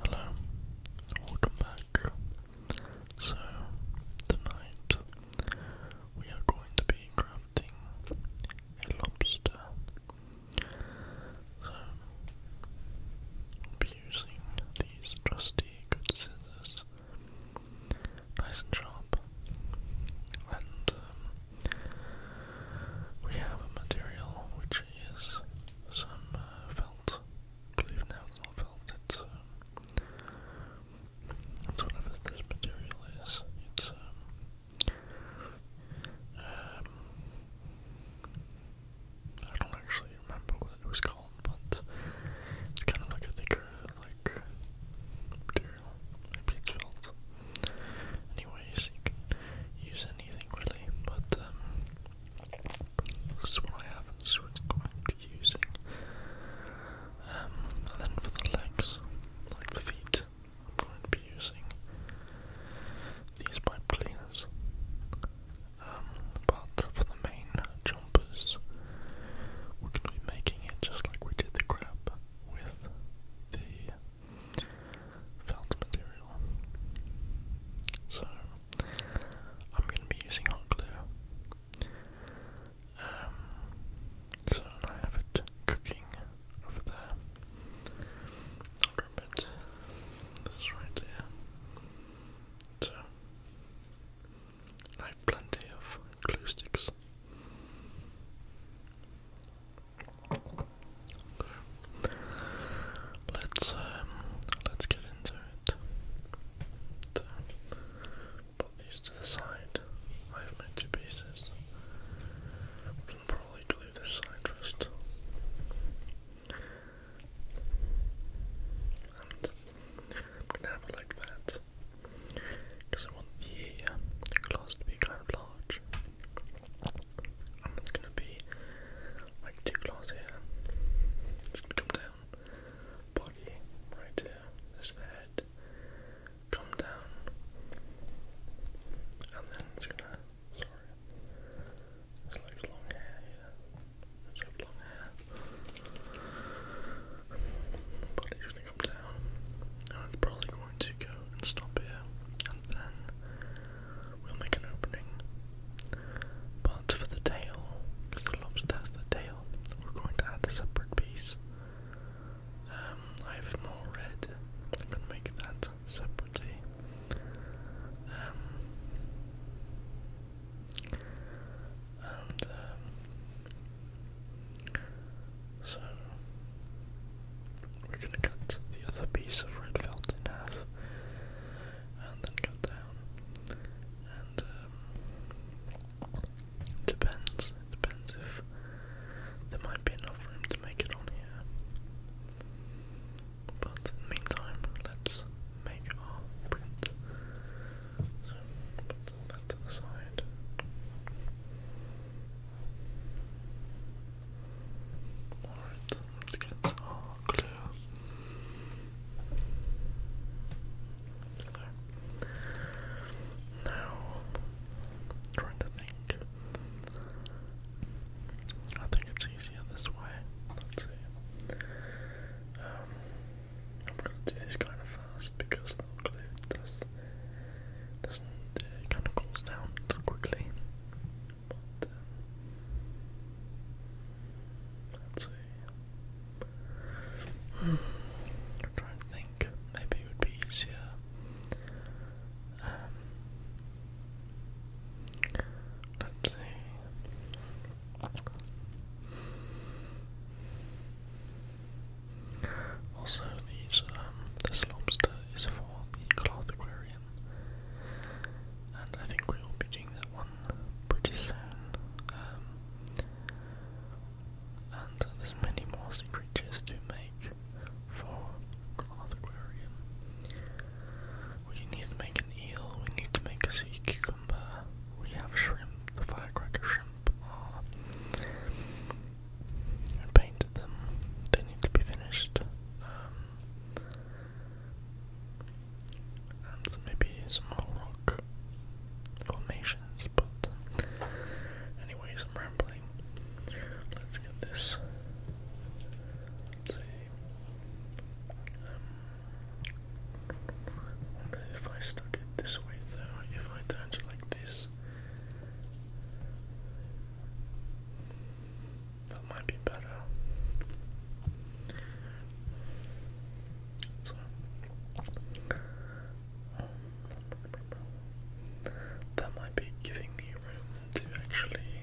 Hello, welcome back. So, tonight we are going to be crafting a lobster. So, I'll be using these trusty good scissors, nice and sharp. And um, we have a material which is some uh, I believe now it's not felt, it's, um, whatever this material is. It's, um, um, I don't actually remember what it was called, but it's kind of like a thicker, like, material. Maybe it's felt. Anyways, you can use anything really, but, um, this is what I have, so it's quite using. Um, and then for the legs, like the feet, I'm going to be using these pipe cleaners. Um, but for the main jumpers, we're going to be making it just like we did the crab with the felt material. So I'm going to be using hot glue. Um, so I have it cooking over there. I'll grab it. right here. So I have plenty of glue sticks let's um, let's get into it. put these to the side. I have made two pieces. We can probably glue this side first. And I'm gonna have it like that. Because I want the uh, to be kind of large and it's gonna be like two claws here. come down, body right here. This head. Come down, and then it's gonna. Sorry, it's like long hair here. It's like long hair. Body's gonna come down, and it's probably going to go and stop here, and then we'll make an opening. But for the tail, because the lobster has the tail, we're going to add a separate piece. Um, I have more red. I'm make that separately. Um, um, so we're going to cut the other piece of red felt in half and then cut down. And um, depends. depends if there might be enough room to make it on here. But meantime, let's make our print. put that to the side. Alright, let's get our glue. So, now trying to think. I think it's easier this way. Let's see. Um, I'm going to do this kind of fast because the glue does, not kind of cools down quickly let's see. I'm um, trying to think. Maybe it would be easier. Um, let's see. Also, these um, this lobster is for the cloth aquarium, and I think we will be doing that one pretty soon. Um, and there's many more creatures to make for Cloth Aquarium. We need to make an eel, we need to make a sea cucumber, we have shrimp, the firecracker shrimp I painted them, they need to be finished. Um, and maybe some more rock formations, but anyways, I'm rambling. Let's get this. see. Um, wonder if I stuck it this way though, if I turned like this. That might be better. Um, that might be giving me room to actually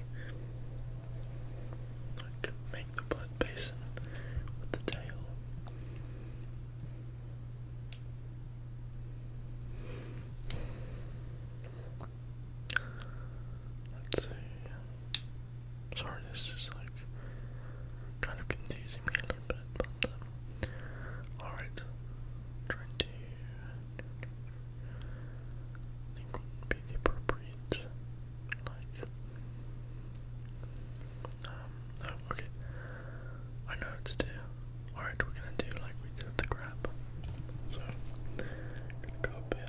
like make the blood basin with the tail. Let's see. Sorry, this is like kind of confusing me a little bit, but um, alright. Twenty I think would be the appropriate like um oh, okay. I know what to do. Alright, we're gonna do like we did the crab. So gonna go up here,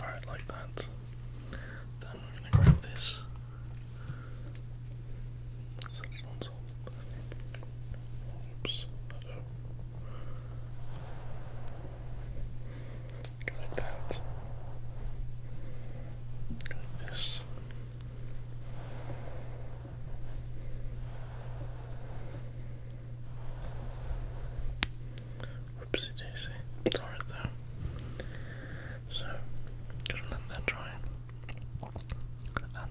Alright, like that. Then we're going to grab this. Oops. like that. like this. Whoopsie daisy. It's alright though. So, gotta let that dry and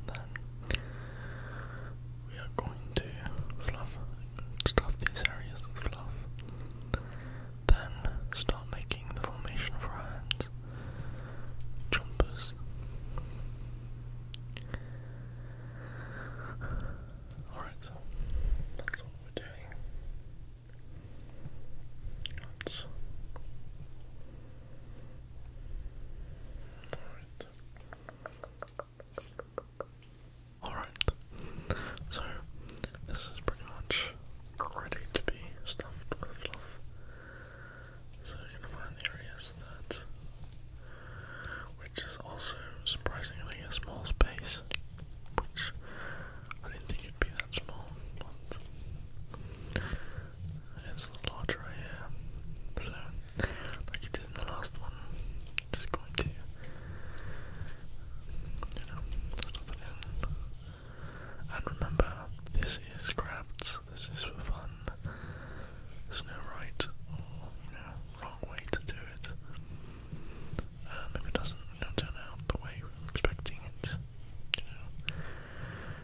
then we are going to fluff, stuff these areas with fluff, then start making the formation of our hands, jumpers. Alright, so that's what we're doing. let Alright. So, this is pretty much ready to be stuffed with fluff. So, you're gonna find the areas that. Which is also surprisingly a small space, which I didn't think it'd be that small. It's a little larger right here. So, like you did in the last one, just going to, you know, stuff it And remember, this is crafts, this is for fun. There's no right or, you wrong way to do it. Um, if it doesn't turn out the way we're expecting it, you know,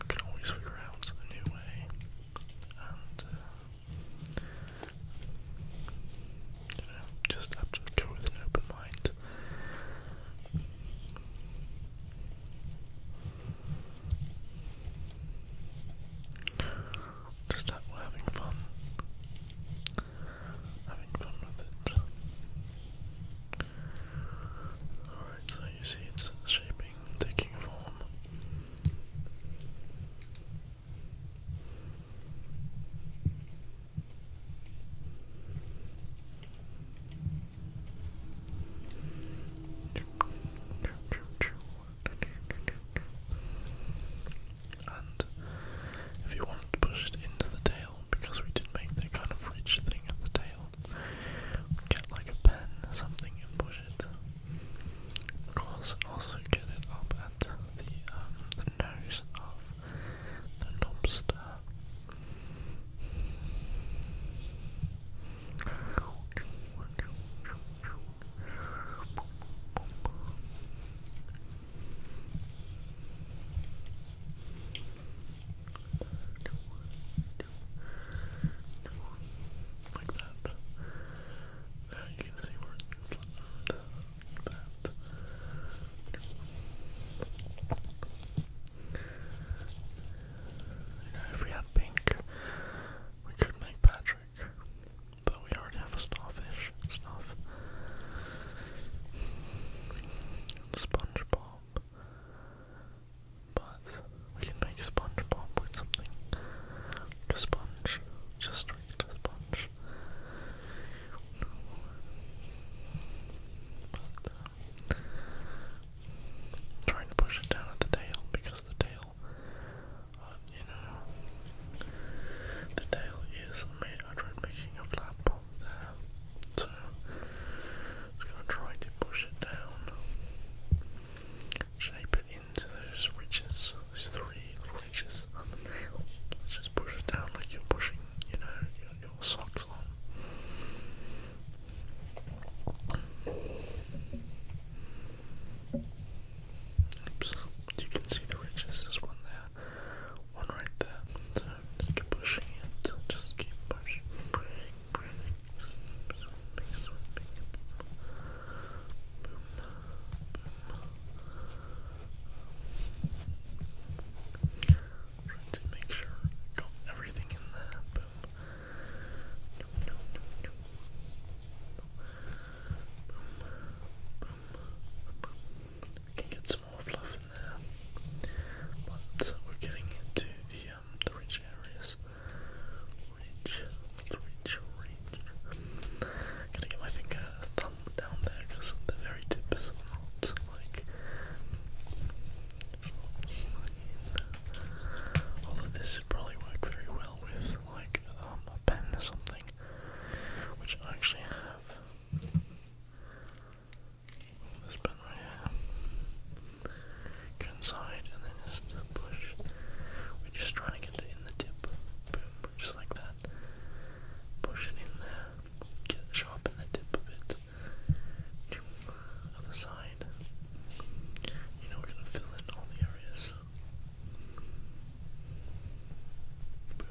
can always figure out a new way and uh, you just go with an open mind. Just having fun, having fun with it. Alright, so you see it's shaping, taking form. And if you wanted to push it into the tail, because we did make that kind of ridge thing at the tail, get like a pen something and push it of also get it up at the, um, nose of the lobster. Like that. Now you can see where it goes that. if we had pink, we could make Patrick. But we already have a starfish stuff. SpongeBob but we can make SpongeBob with something. Like a sponge, just like a sponge. But, uh, trying to push it down at the tail because the tail, uh, you know, the tail is. Made, I tried making a flap there, so I'm just gonna try to push it down, shape into those ridges, those three ridges on the nail. Let's just push it down like you're pushing, you know, your, socks on. Oops, you can see the ridges. There's one there, one right there. So just keep pushing it. Just keep pushing, to make sure I got everything in there. We can get some more fluff in there, but we're getting into the um, the rich areas reach, to get my finger, thumb down there because the very tip is not like Although this would probably work very well with like um, a pen or something, which I actually have. This pen right here inside and then just push. We're just trying to get it in the tip. Boom, just like that. Push it in there. Get sharpen the tip of it. Other side. You know we're gonna fill in all the areas. Boom.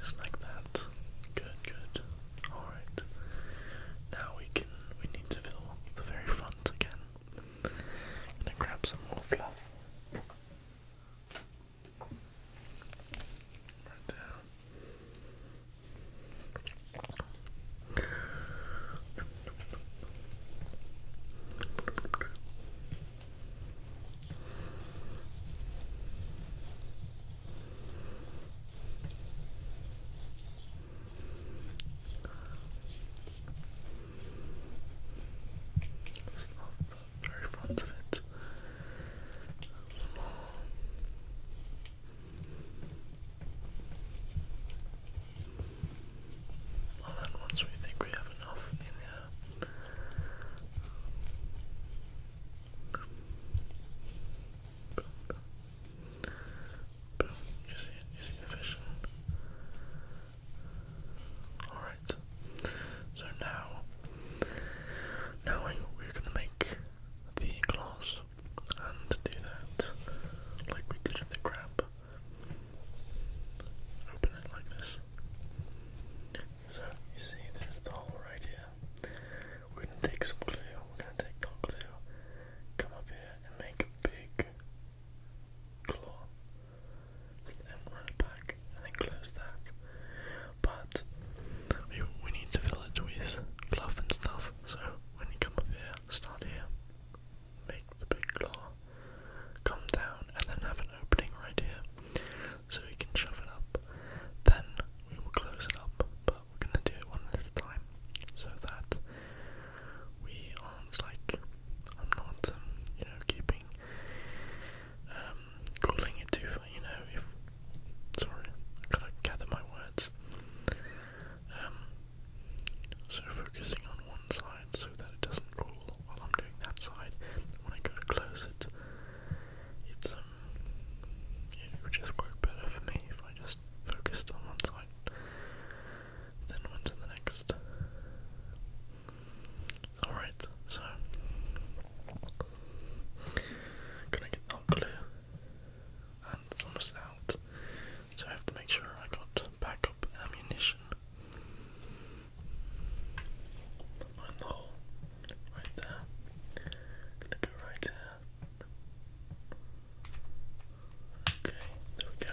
Just like that. Good, good. Alright. Now we can we need to fill the very front again. I'm gonna grab some more fluff. Right there. It's not the very front of it. Well, then, once we think we have enough in here, boom, boom. You see You see the vision? Alright. So now, now we're going to make the claws and do that like we did with the crab. Open it like this. So you see there's the hole right here. We're gonna take some glue, we're gonna take that glue, come up here and make a big claw. So then run it back and then close that. But we, need to fill it with fluff and stuff. So when you come up here, start here, make the big claw, come down, and then have an opening right here so we can shove it up. Then we will close it up, but we're going to do it one at a time so that we aren't like I'm not um, you know keeping um, calling it too far, you know, if sorry, gotta gather my words. Um, so focusing on one side so that it doesn't crawl while I'm doing that side. When I go to close it it's it would just work better for me if I just focused on one side. Then went to the next. Alright, so. Gonna get that clear. And it's almost out. So I have to make sure I got backup ammunition. Find the hole. Right there. Gonna go right here. Okay, there we go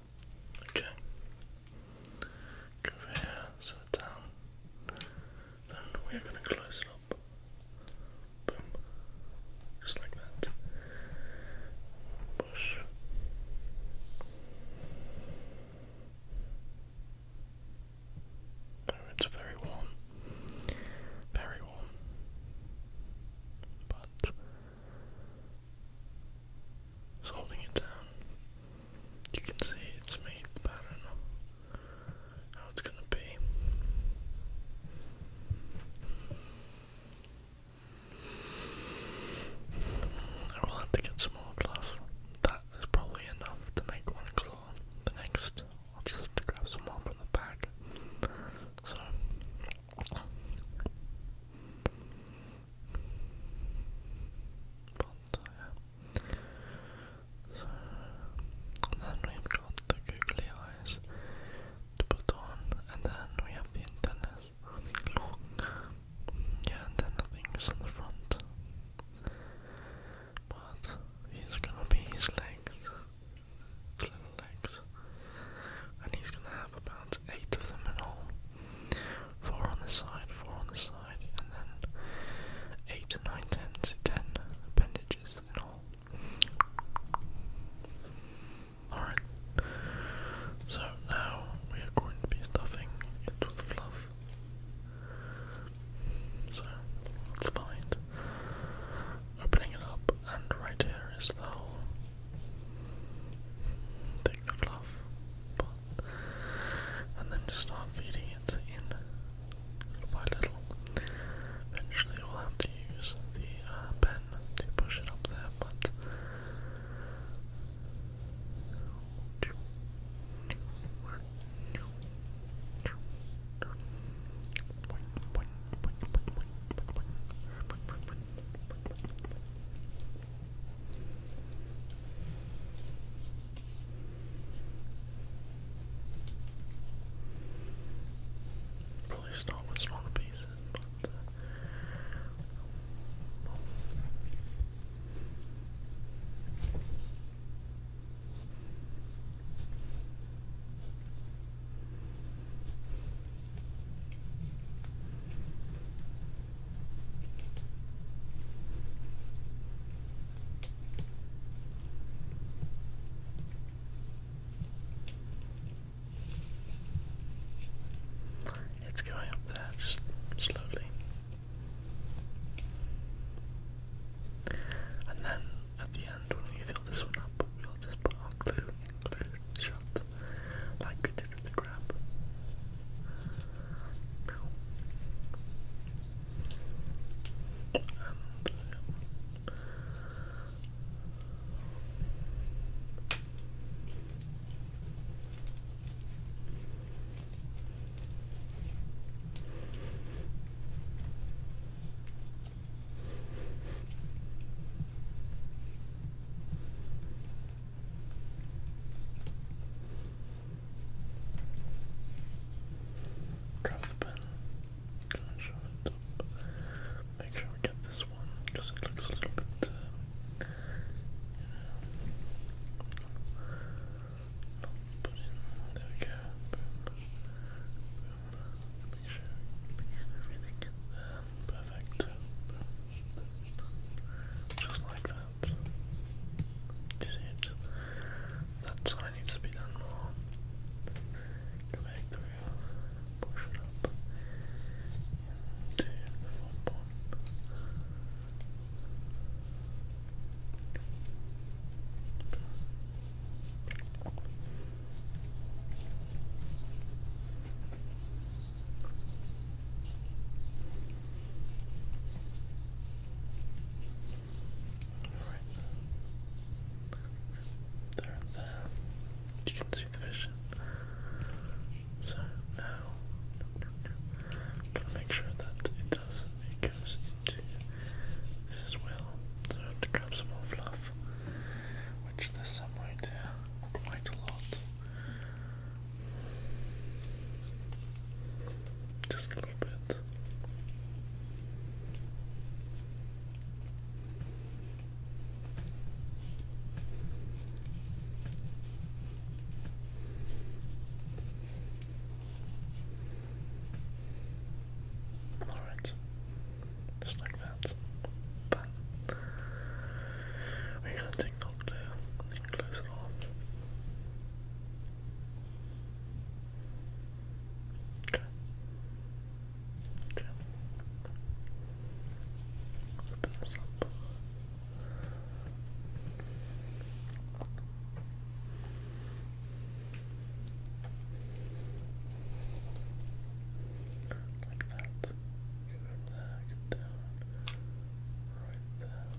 Okay. Go here, set down. Then we are going to close it up. Boom. Just like that. Push. Oh, it's very warm. Very warm. But it's holding it down. You can see it's made, I don't know how it's gonna be. I will have to get some more gloves. That is probably enough to make one claw. The next, I'll just have to grab some more from the back. So. Bonzo, yeah. So, then we've got the googly eyes to put on, and then we have the antennas. Yeah, and then the on the front. But he's gonna be his legs. Little legs. And he's gonna have about eight of them in all. Four on this side, four on this side, and then eight, nine, ten, ten appendages in all. Alright. So now we are going to be stuffing into with fluff. So let's find opening it up and right here is the whole thing of fluff and then just start feeding it in little by little. Eventually, we'll have to use the uh, pen to push it up there, but. Probably start with smaller pieces, but. Uh, it's going up there just slowly. And then at the end, when we fill this one up, we'll just put our glue glue shot like we did with the crap. No. Grab the pen. Can I show it Make sure we get this one because it looks a little bit, uh, you put in. There we go. Perfect. Just like that out. You see it? That side needs to be done more. Go back through, push it up into the foam pond. Right. There there. You can see the vision. So now i to make sure that it does it goes into as well. So I more fluff. Which there's some right here. Quite a lot. Just a bit. Alright, just like that. But we're gonna take the glue and close it off. Okay. Okay. Open this up. Like that. Get right there, get down. Right there.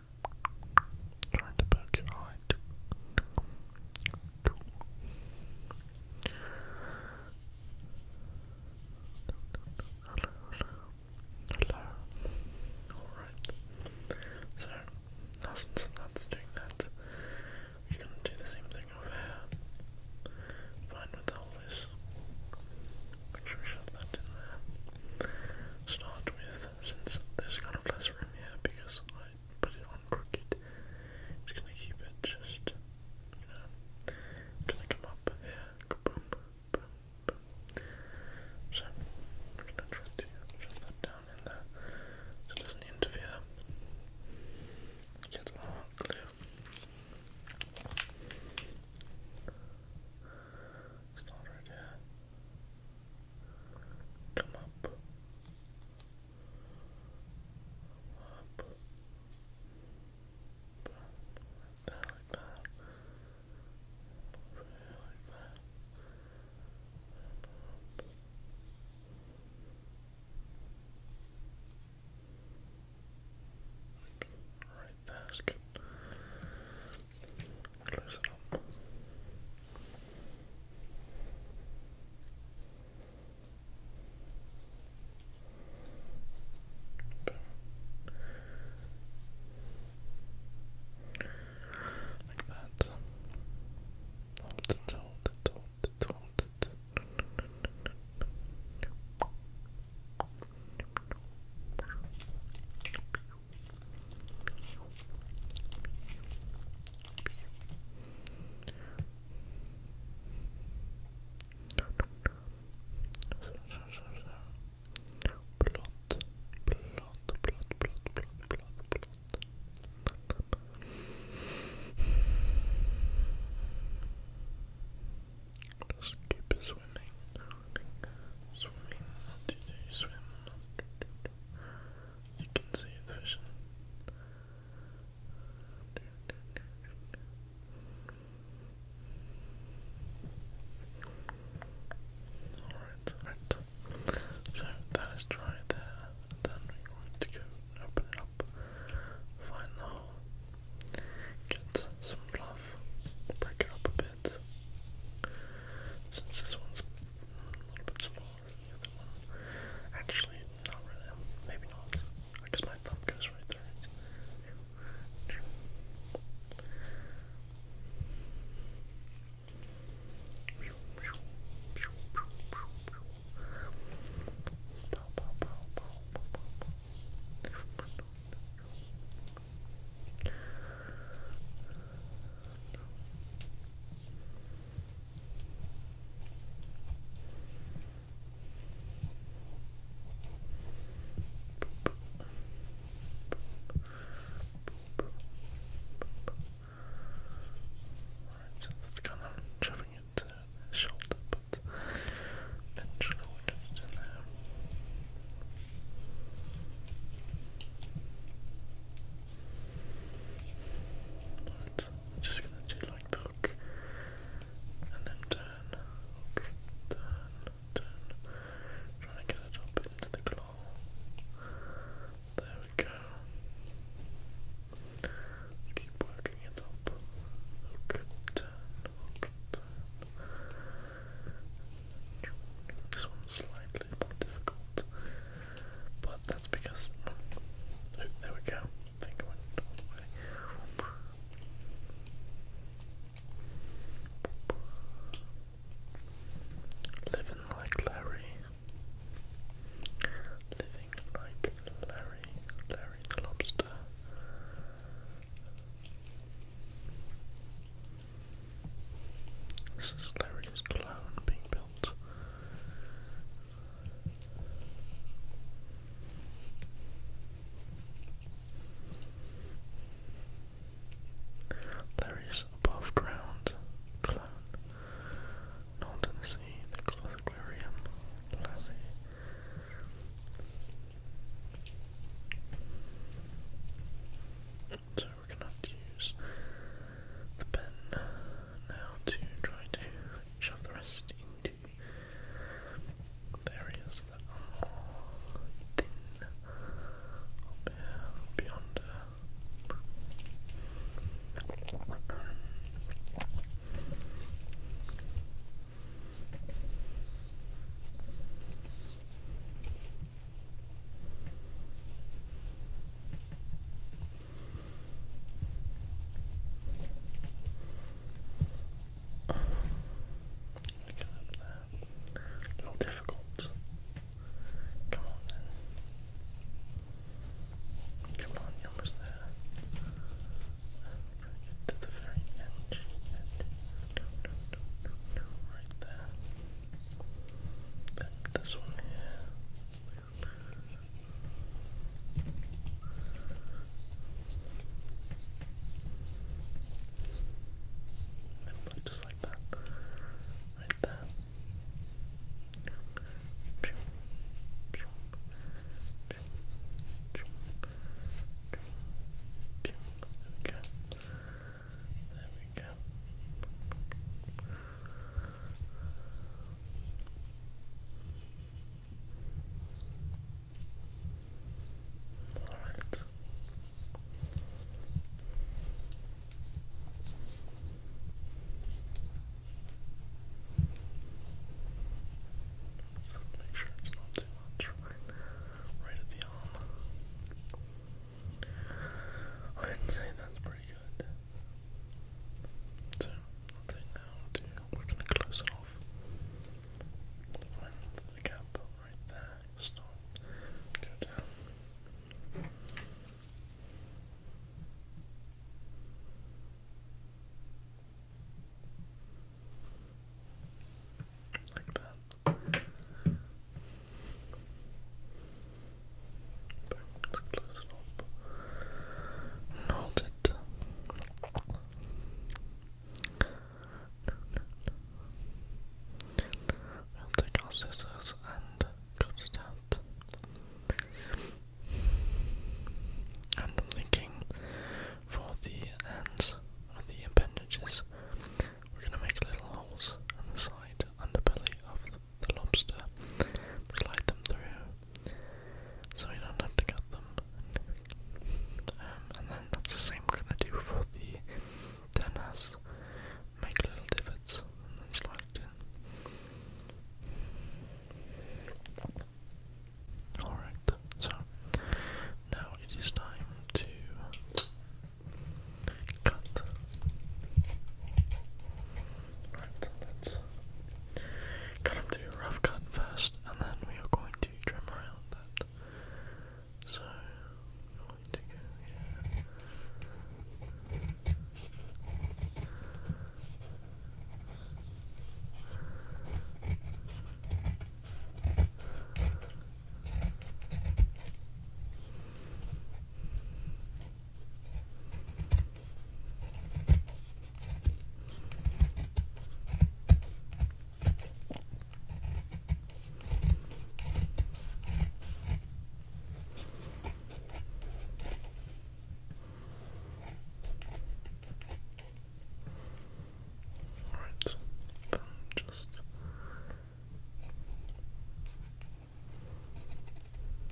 Trying to poke your eye. Hello, hello. Hello. Alright. So, now since doing that, we're gonna do the same thing over here. Fine with all this. Make sure we shove that in there. Start with since there's kind of less room here because I put it on crooked. I'm just gonna keep it just, you know, gonna come up here, So, I'm gonna try to shove that down in there so it doesn't interfere. Get our glue. Start right here. Come up. Up. Like that, like that. Over here, like that. Up. Right, that's good. Close it Like that. Hold it, hold it, hold it, hold it. Perfect. Blond, blond, blond, blond, blond, blond, blond. Just keep swimming, swimming, swimming until you you can see Alright, right. So that is dry there. then we're going to go open up, find the hole, get some fluff, break it up a bit. Since this one's a little bit smaller than the other one. Actually, not really. Maybe not. I guess my thumb goes right there. Right, that's kind of shoving it his shoulder, but eventually we in there. But I'm just gonna do like the hook and then turn, turn, turn. Try and get it up into the claw. There we go. Keep working it up. Hook, turn, hook, turn. This one's slightly more difficult. But that's because. Oh, there we go. Living like Larry. Living like Larry. Larry the Lobster. This is Larry's clone being built out. There is above ground clone, not in the sea, the cloth aquarium, so we're gonna have to use the pen now to try to shove the rest into areas that are more thin up here, beyond uh, Look A little difficult. Come on then. Come on, you almost there. And to the very end. right there. Then this one here. And look just like that. Right there. There we go. There we go. Alright. So make sure it's not too much right, at the arm. i that's pretty good good. So I we're going to close it off. Find the gap right there. Stop. Go down. Like that. Banks close up. Noted. We'll take our scissors and cut it And I'm thinking for the ends or the appendages, we're going to make little holes in the side and the belly of the lobster, slide them through so we don't have to cut them. Um, and then that's the same we're gonna do for the tennis. Make little divots and then slide it in. Alright, so now it is time to cut. Right, so let's cut up to a rough cut first, and then we are going to trim around that. So, going to go here. Alright, then just like that.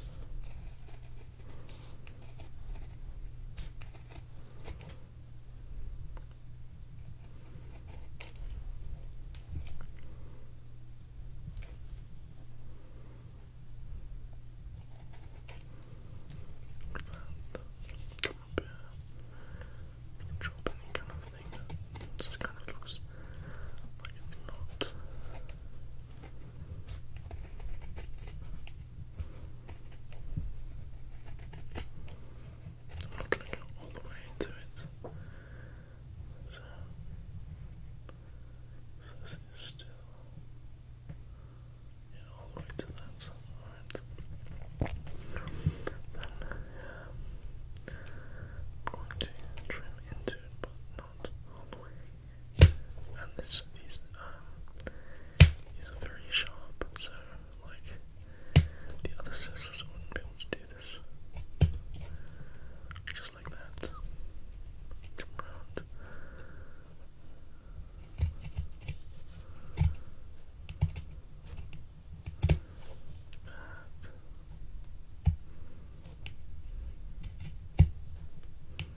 Drop any kind of thing that kind of looks like it's not I'm going to go all the way into it. So, this is still all the way to that. Alright. Then um, I'm going to trim into it, but not all the way and this these these um, are very sharp, so like the other scissors wouldn't be able to do this. Just like that. Come round. That.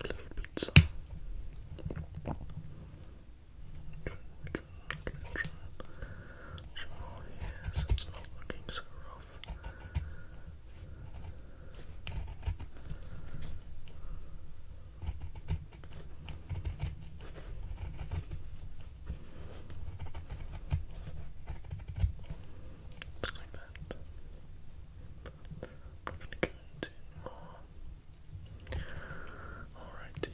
Little pizza. Good, good, good. Some more here, it's not looking so wrong off. Like that. We're going to go into more. Alrighty.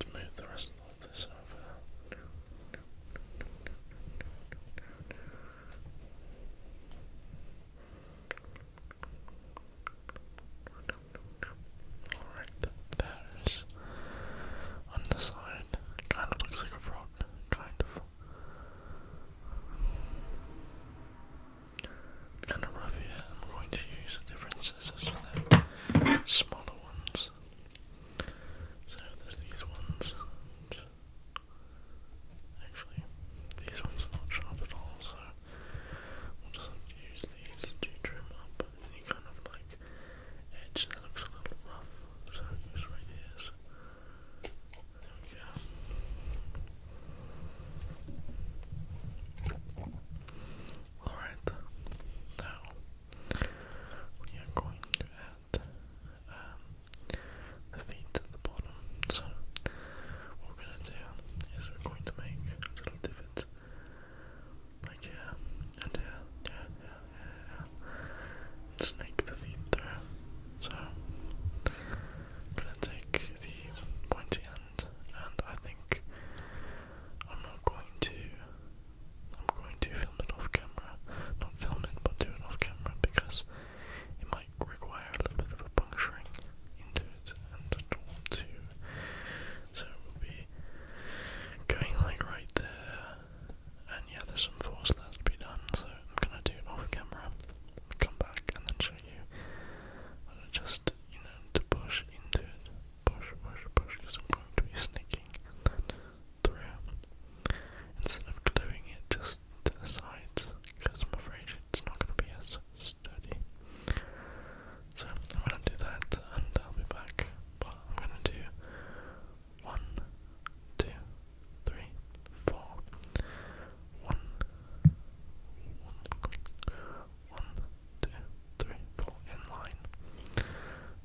To move the rest Alright, there's on the side. Kind of looks like a frog. Kind of. Kind of rough here. I'm going to use the different scissors for the smaller ones. So there's these ones, actually these ones are not sharp at all, so we'll just use these to trim up any kind of like edge that looks a little rough. So it goes there we go. Alright, now we are going to add um, the feet at the bottom. So what we're gonna do is we're going to make little divot. Like yeah, and yeah, yeah, yeah, yeah, yeah. the feet through. So I'm gonna take the pointy end and I think I'm not going to I'm going to film it off camera. Not film it, but do it off camera because it might require a little bit of a puncturing into it, and I don't want So we'll be going like right there, and yeah, there's some force that be done, so I'm gonna do it off camera, come back, and then show you. just, you know, to push into it. Push, push, push, because I'm going to be sneaking instead of gluing it just to the sides because I'm afraid it's not going to be as sturdy. So I'm going to do that and I'll be back. But I'm going to do one, two, three, four, one, one, one, two, three, four in line.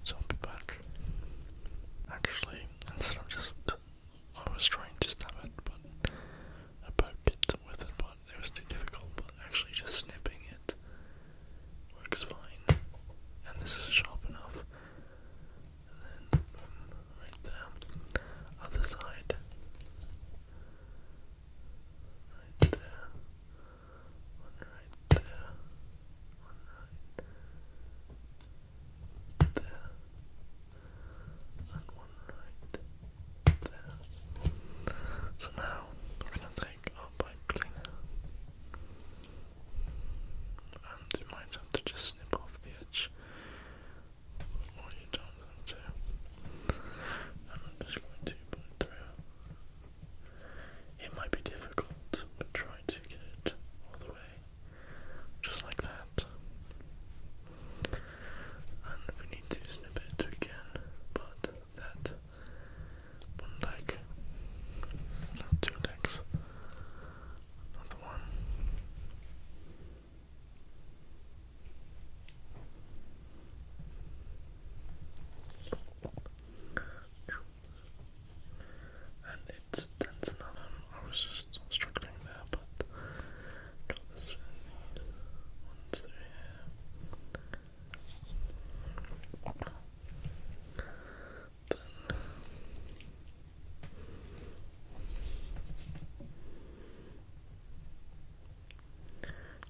So I'll be back. Actually, instead of just, I was trying to stab it, but I it with it, but it was too difficult. But actually, just snipping it works fine, and this is sharp enough. then right there, other side, right there, right there one So now we're gonna take our pipe cleaner, and you might have to just snip off the edge, or you don't have to. And I'm just going to put it through. It might be difficult, but try to get it all the way, just like that. And we need to snip it again, but that one leg, two legs, another one and it's tense I was just struggling there, but got this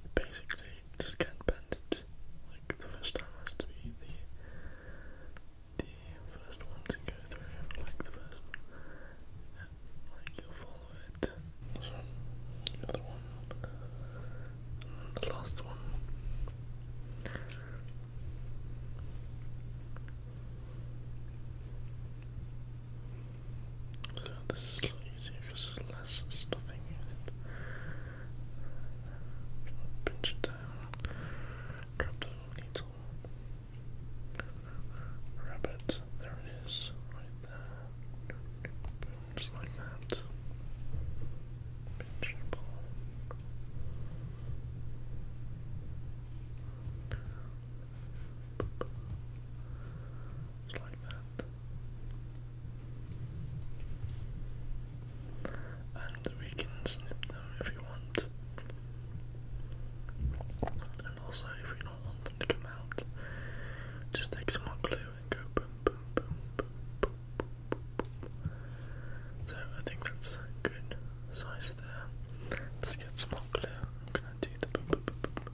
Then basically just can't bend it. Like the first time has to be the the first one to go through, like the first one, like you'll follow it, so the other one, and the last one. So this is easier because there's less stuffing in it. Pinch it down. Crypto Needle. Rabbit, there it is, right there. Boom, just like that. Pinch and pull. Just like that and we can snip them if we want. And also, if we don't want them to come out, just take some hot glue and go boom, boom, boom, boom, boom, boom, boom, boom. So I think that's good size there. Let's get some hot glue. I'm gonna do the boom, boom, boom, boom.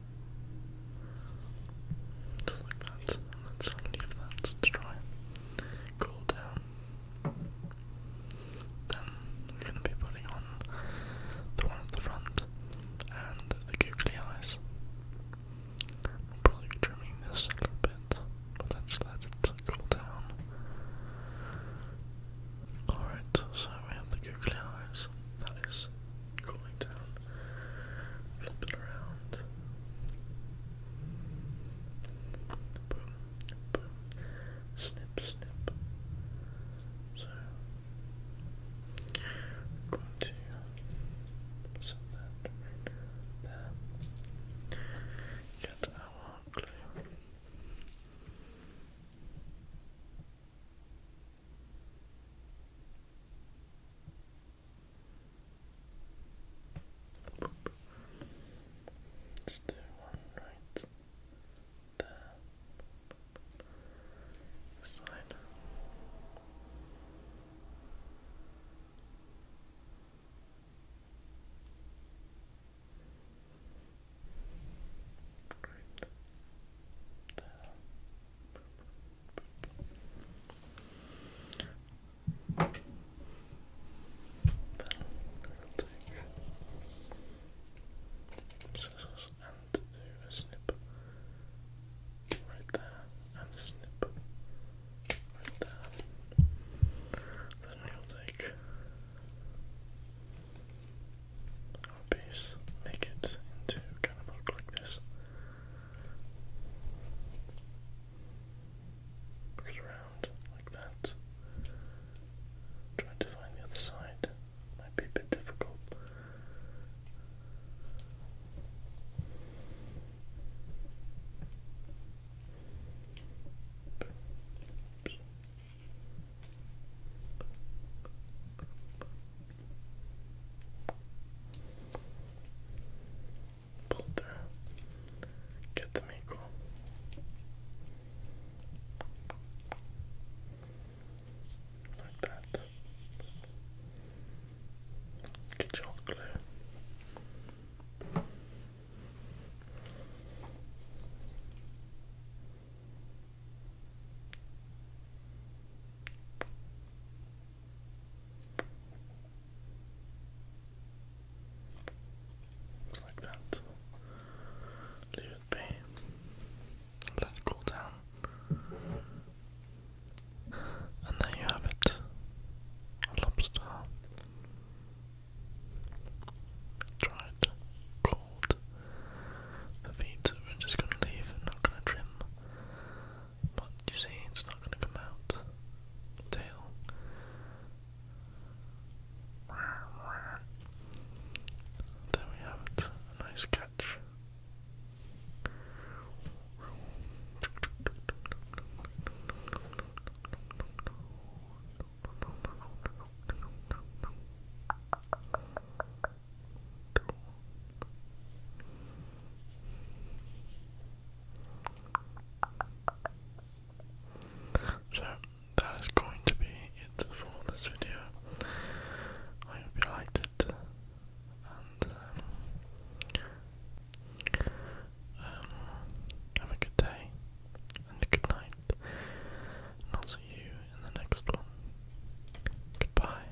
Just like that. let's leave that to dry. Cool down. Then we're going to be putting on the one at the front and the googly eyes. probably trimming this a little bit, let's let it cool down. Alright, so we have the googly eyes. That is cooling down flip around. Boom, boom, snip, snip. So, I'm going to set that there. Get our glue. Let's do one right there. This There. But i scissors and do a snip right there and a snip right there. Then we'll take our piece, make it into kind of look like this. Look it around like that. Trying to find the other side might be a bit difficult. Boulder. Get them equal. Like that. Get your glue like that. Leave it be. Let it cool down. And there you have it. lobster. Dried, cold. The feet we're just gonna leave and not gonna trim. But you see, it's not gonna come out. Tail. There we have it. nice catch. So that is going to be it for this video. I hope you liked it, and um, um, have a good day and a good night, and I'll see you in the next one. Goodbye.